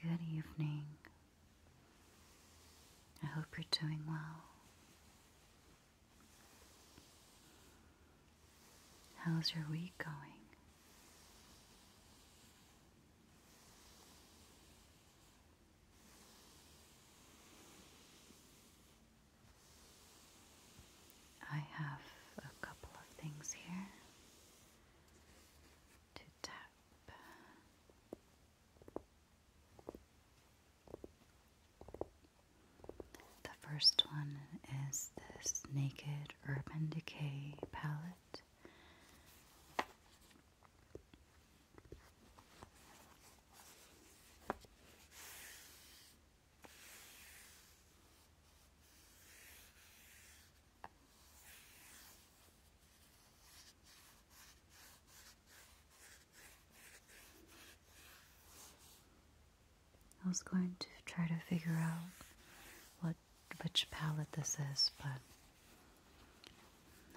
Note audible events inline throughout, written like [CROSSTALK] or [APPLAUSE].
Good evening. I hope you're doing well. How's your week going? I have a couple of things here. The first one is this Naked Urban Decay palette. I was going to try to figure out what which palette this is, but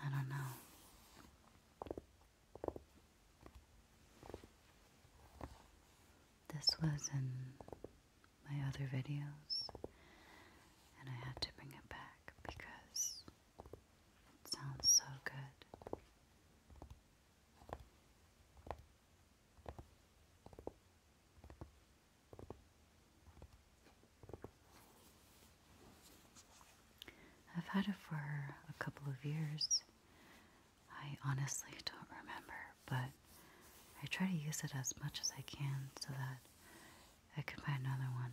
I don't know. This was in my other videos, and I had to bring it back because it sounds so good. I've had it for a couple of years. I honestly don't remember, but I try to use it as much as I can so that I can buy another one.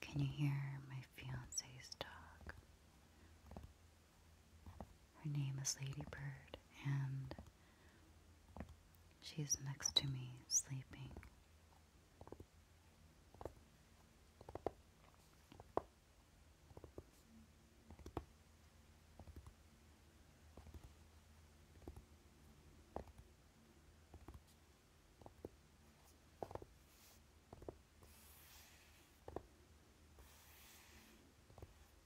Can you hear my fiance's dog? Her name is Ladybird, and she's next to me sleeping.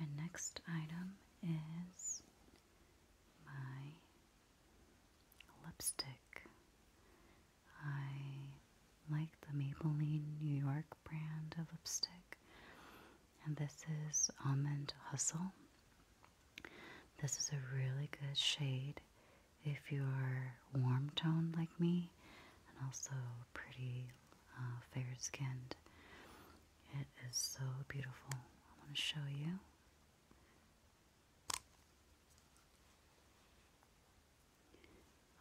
My next item is my lipstick. I like the Maybelline New York brand of lipstick, and this is Almond Hustle. This is a really good shade if you're warm toned like me and also pretty uh, fair skinned. It is so beautiful. I want to show you.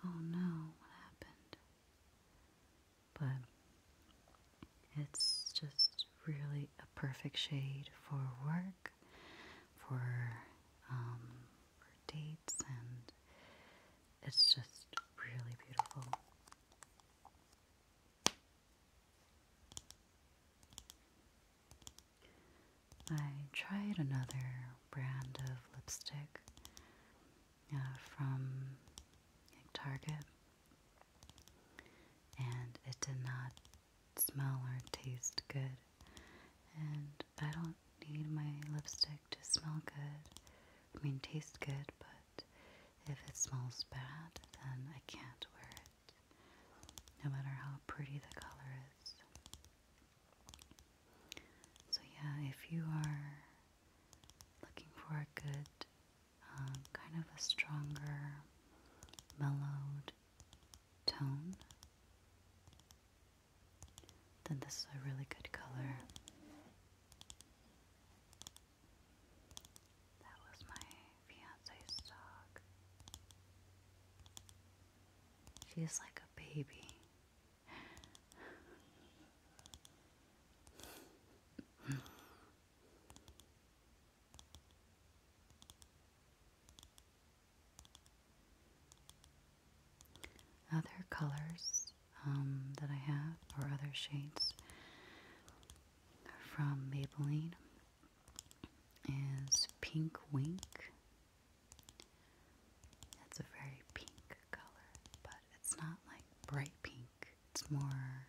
Oh no, what happened? But it's just really a perfect shade for work, for, um, for dates, and it's just really beautiful. I tried another brand of lipstick uh, from Target, and it did not smell or taste good. And I don't need my lipstick to smell good. I mean, taste good, but if it smells bad, then I can't wear it no matter how pretty the color is. So, yeah, if you are looking for a good, uh, kind of a stronger, mellowed tone, then this is a really good color. That was my fiance's dog. She's like a baby. Other colors um, that I have, or other shades, from Maybelline is Pink Wink. It's a very pink color, but it's not like bright pink. It's more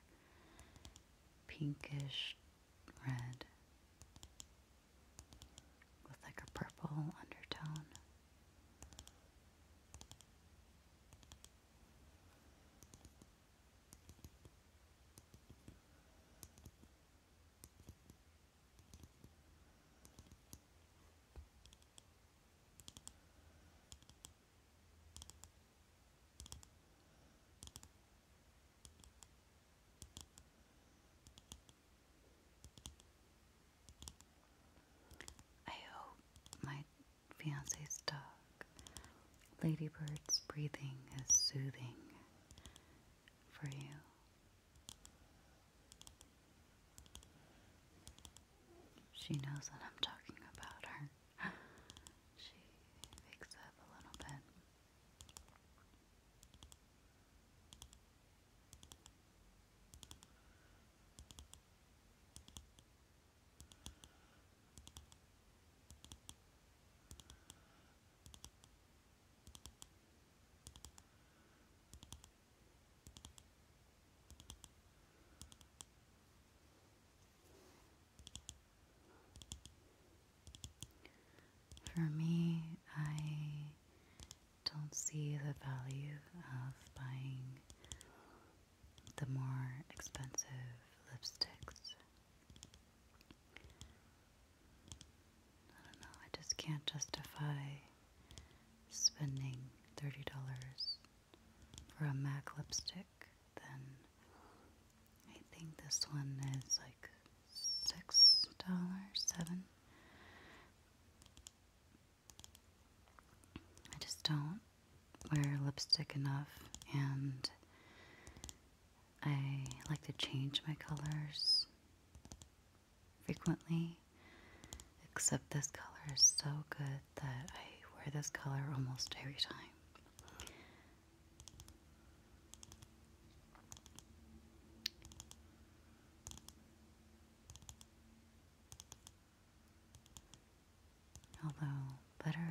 pinkish red with like a purple undertone. I hope my fiance's dog, Ladybird's breathing, is soothing for you. She knows that I'm talking about her. [GASPS] she wakes up a little bit. For me, I don't see the value of buying the more expensive lipsticks. I don't know, I just can't justify spending $30 for a MAC lipstick. Then I think this one is like $6, 7 I just don't wear lipstick enough and I like to change my colors frequently, except this color is so good that I wear this color almost every time. Although better,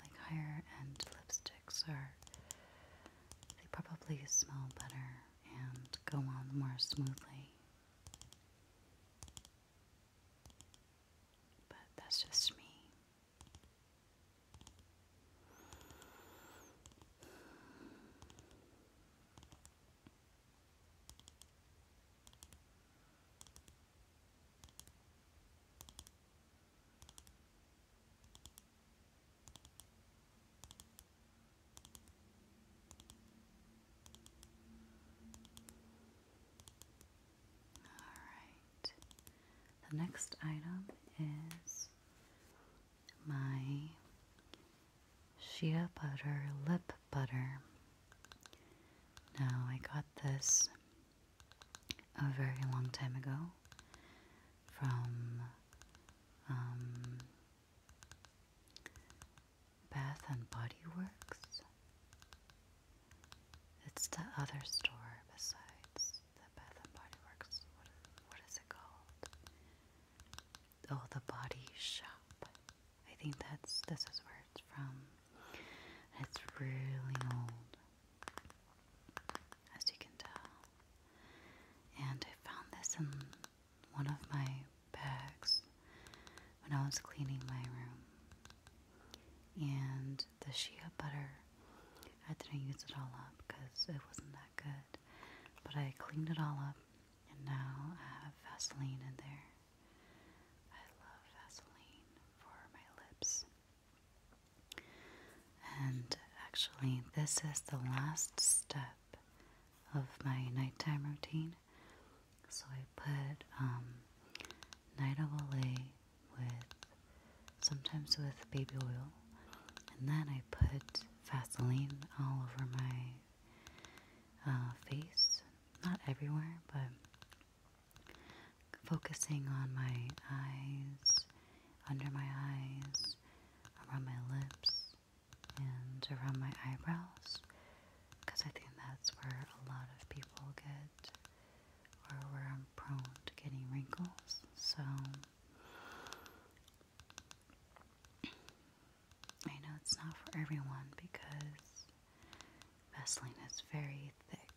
like higher end lipsticks are they probably smell better and go on more smoothly. But that's just me. Alright, the next item is my shea butter lip butter. Now, I got this a very long time ago from um, Bath and Body Works. It's the other store besides the Bath and Body Works. What is, it called? Oh, the Body Shop. I think that's this is where it's from. It's really old, as you can tell. And I found this in one of my bags when I was cleaning my room. And the shea butter, I didn't use it all up because it wasn't that good. But I cleaned it all up and now I have Vaseline in there. I love Vaseline for my lips. And actually, this is the last step of my nighttime routine. So I put um, night Olay with sometimes with baby oil, and then I put Vaseline all over my uh, face. Not everywhere, but focusing on my eyes, under my eyes, around my lips and around my eyebrows because I think that's where a lot of people get or where I'm prone to getting wrinkles. So I know it's not for everyone because Vaseline is very thick.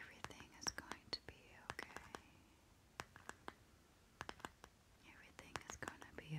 Everything is going to be okay. Everything is going to be okay.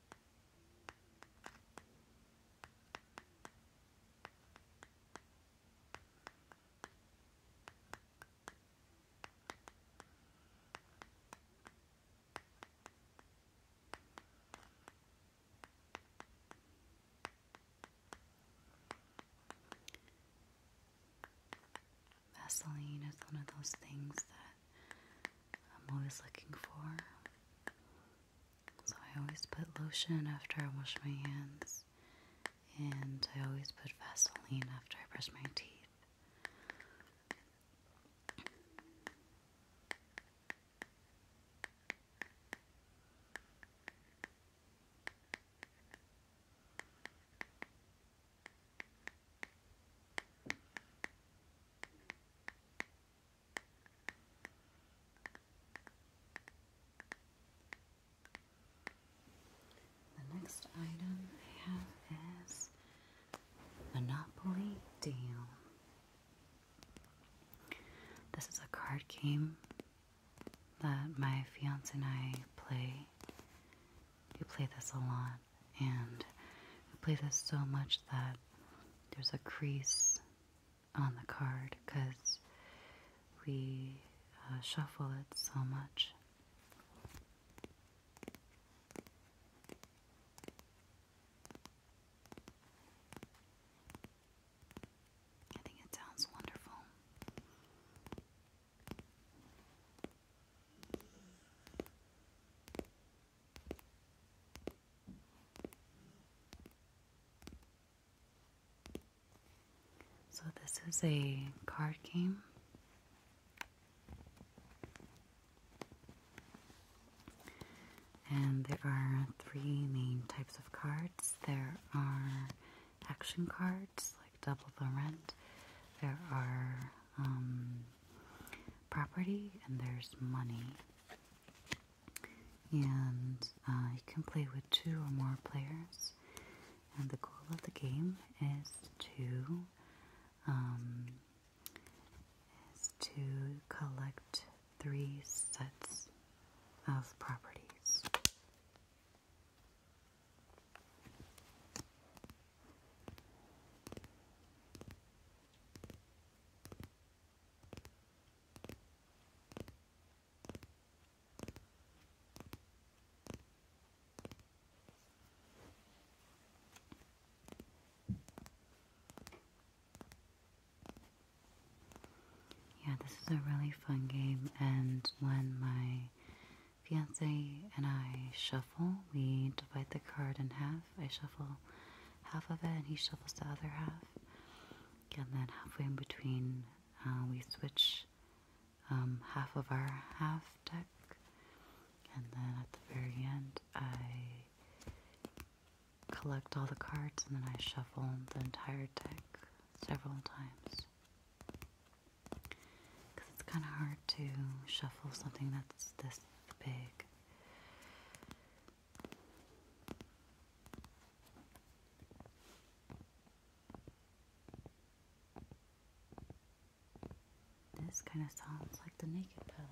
Vaseline is one of those things that I'm always looking for. So I always put lotion after I wash my hands, and I always put Vaseline after I brush my teeth. The next item I have is Monopoly Deal. This is a card game that my fiance and I play. We play this a lot, and we play this so much that there's a crease on the card because we uh, shuffle it so much. I think it sounds wonderful. So, this is a card game. And there are three main types of cards. There are action cards, like Double the Rent. There are um, property, and there's money and uh, you can play with two or more players. And the goal of the game is to um, is to collect three sets of properties. Yeah, this is a really fun game, and when my fiance and I shuffle, we divide the card in half. I shuffle half of it, and he shuffles the other half. And then halfway in between, uh, we switch um, half of our half deck. And then at the very end, I collect all the cards and then I shuffle the entire deck several times. Because it's kind of hard to shuffle something that's this big. This kind of sounds like the naked palette.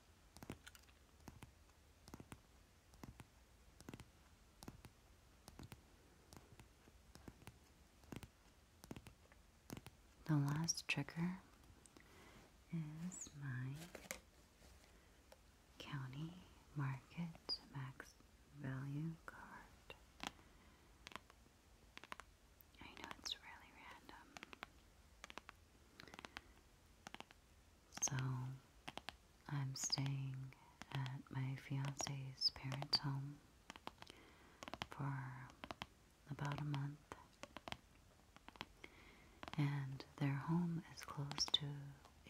The last trigger is my county market max value card. I know it's really random. So I'm staying at my fiance's parents' home for about a month. And their home is close to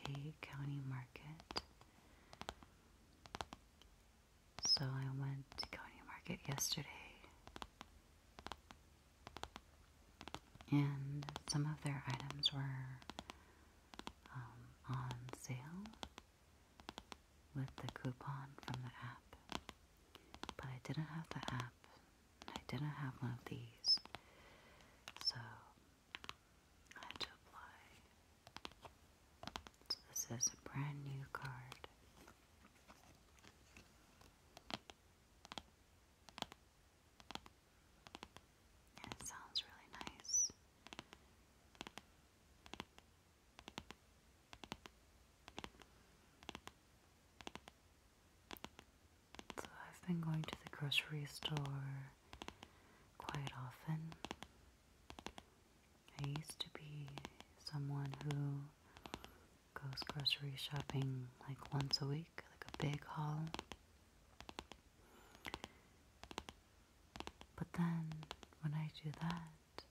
a county market. So I went to county market yesterday and some of their items were um, on sale with the coupon from the app. But I didn't have the app, I didn't have one of these, so I had to apply. So, this is a brand new card it sounds really nice. So I've been going to the grocery store quite often. I used to be someone who goes grocery shopping like once a week, like a big haul. But then when I do that,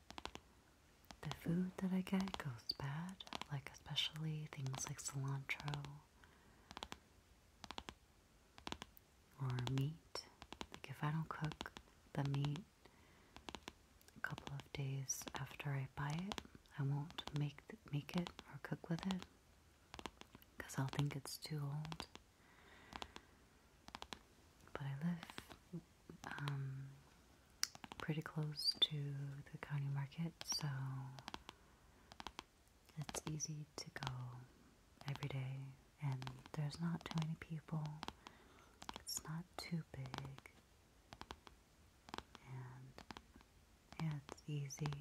the food that I get goes bad, like especially things like cilantro or meat. Like if I don't cook the meat a couple of days after I buy it, I won't make make it or cook with it because I'll think it's too old. But I live um, pretty close to the county market, so it's easy to go every day, and there's not too many people. It's not too big and yeah, it's easy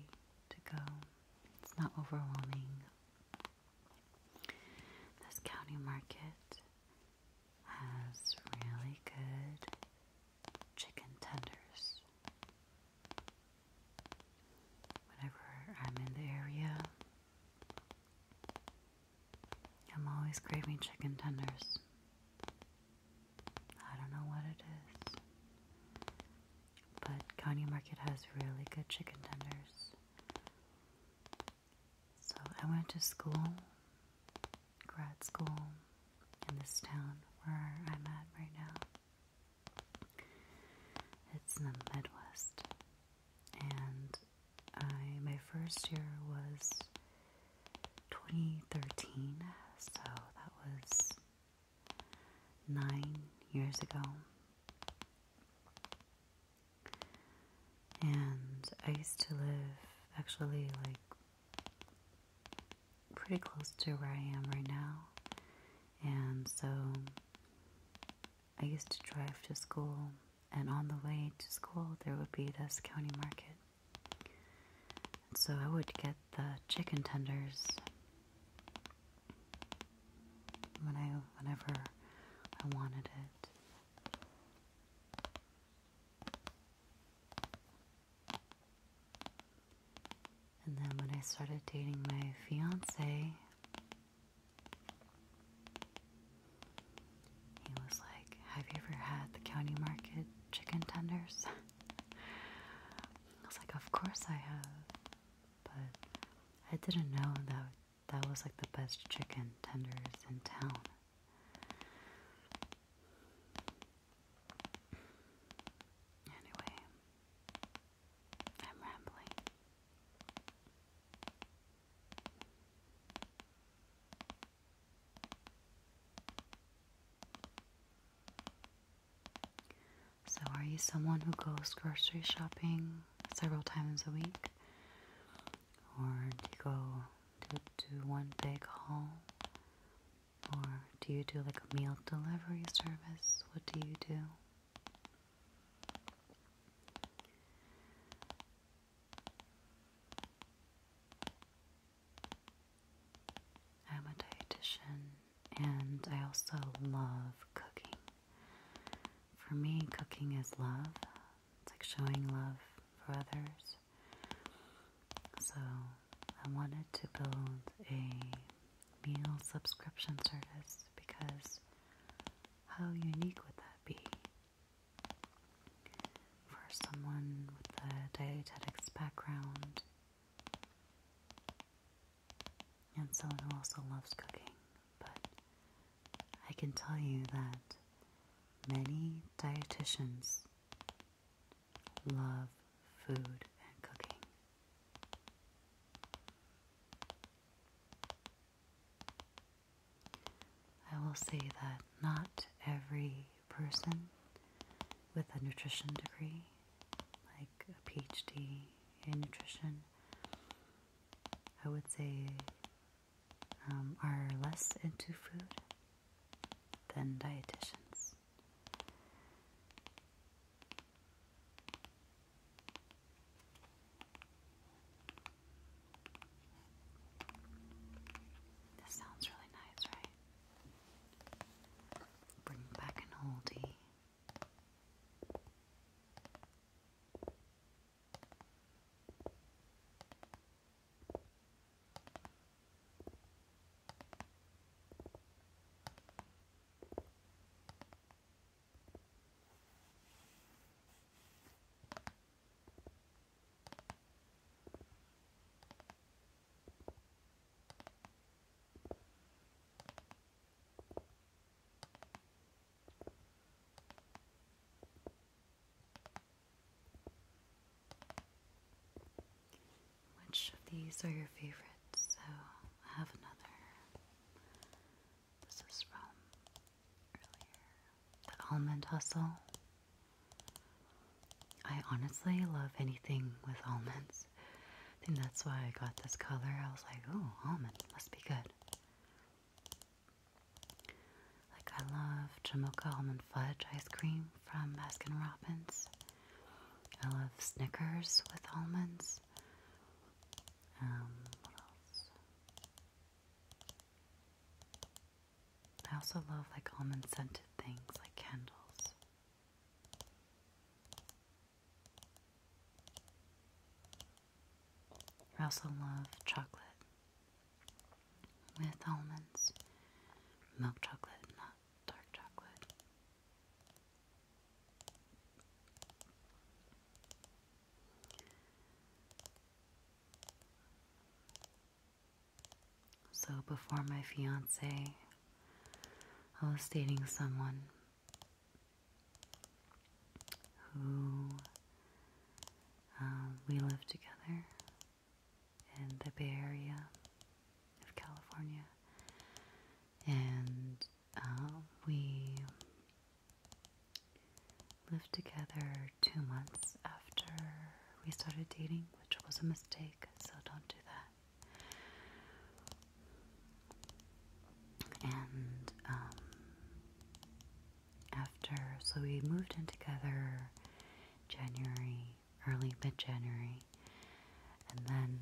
to go. It's not overwhelming. This county market has really good chicken tenders. Whenever I'm in the area, I'm always craving chicken tenders. I don't know what it is. But Kanye Market has really good chicken tenders. So I went to school, grad school, in this town where I'm at right now. It's in the Midwest. And I my first year was 2013, so that was nine years ago. And I used to live actually like pretty close to where I am right now. And so I used to drive to school, and on the way to school, there would be this county market. So I would get the chicken tenders when I whenever I wanted it. And then when I started dating my fiance, he was like, Have you ever had the county market chicken tenders? [LAUGHS] I was like, of course I have. But I didn't know that that was like the best chicken tenders in town. Anyway, I'm rambling. So, are you someone who goes grocery shopping several times a week? Or do you go do, one big haul? Or do you do like a meal delivery service? What do you do? I'm a dietitian and I also love cooking. For me, cooking is love. It's like showing love for others. So I wanted to build a meal subscription service because how unique would that be? For someone with a dietetics background and someone who also loves cooking. But I can tell you that many dietitians love food and cooking. I will say that not every person with a nutrition degree like a PhD in nutrition, I would say um, are less into food than dietitians. This sounds really nice, right? Bring back an oldie. Which of these are your favorites? So I have another. This is from earlier. The Almond Hustle. I honestly love anything with almonds. I think that's why I got this color. I was like, oh, almond, must be good. Like, I love Jamocha almond fudge ice cream from Baskin Robbins. I love Snickers with almonds. Um, what else? I also love like almond scented things like candles. I also love chocolate with almonds, milk chocolate, not dark chocolate. So before my fiance, I was dating someone who um, we lived together in the Bay Area of California, and um, we lived together two months after we started dating, which was a mistake, so don't do that. And um, after, so we moved in together January, early mid January, and then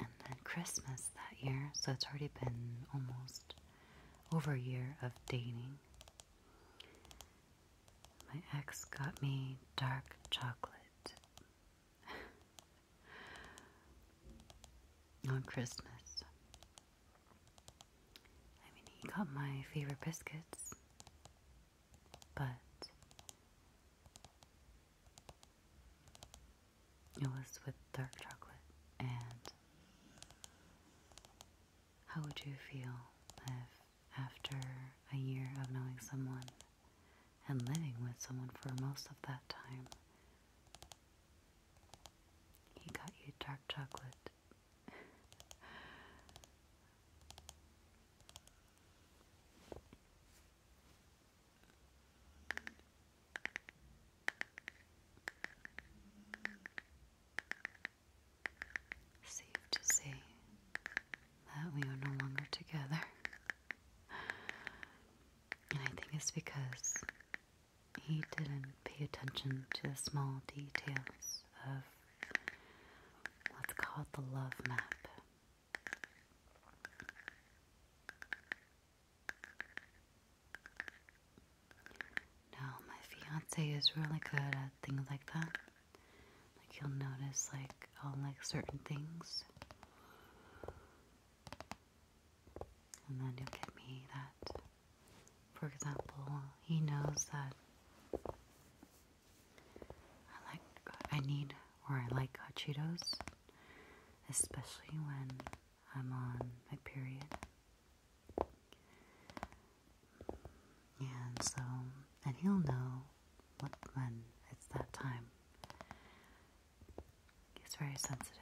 and then Christmas that year. So it's already been almost over a year of dating. My ex got me dark chocolate [LAUGHS] on Christmas. I mean, he got my favorite biscuits, but it was with dark chocolate. And how would you feel if, after a year of knowing someone, and living with someone for most of that time. He got you dark chocolate. [LAUGHS] Safe to say, that we are no longer together. And I think it's because he didn't pay attention to the small details of, let's call it the love map. Now, my fiance is really good at things like that. Like you'll notice like i like certain things. And then he'll give me that. For example, he knows that I like I need or I like Cheetos, especially when I'm on my period. And so, and he'll know what when it's that time. He's very sensitive.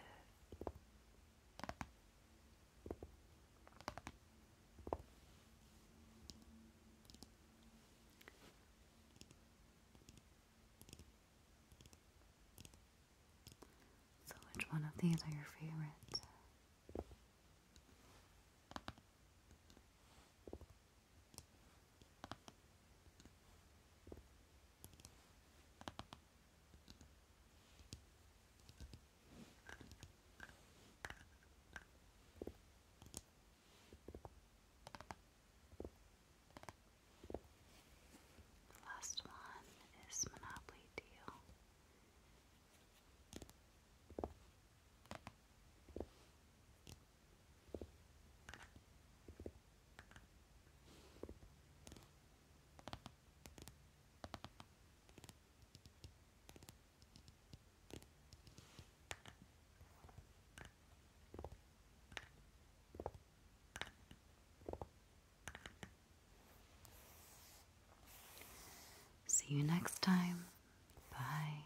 So, which one of these are your favorites? The last one is Monopoly Deal. See you next time. Bye.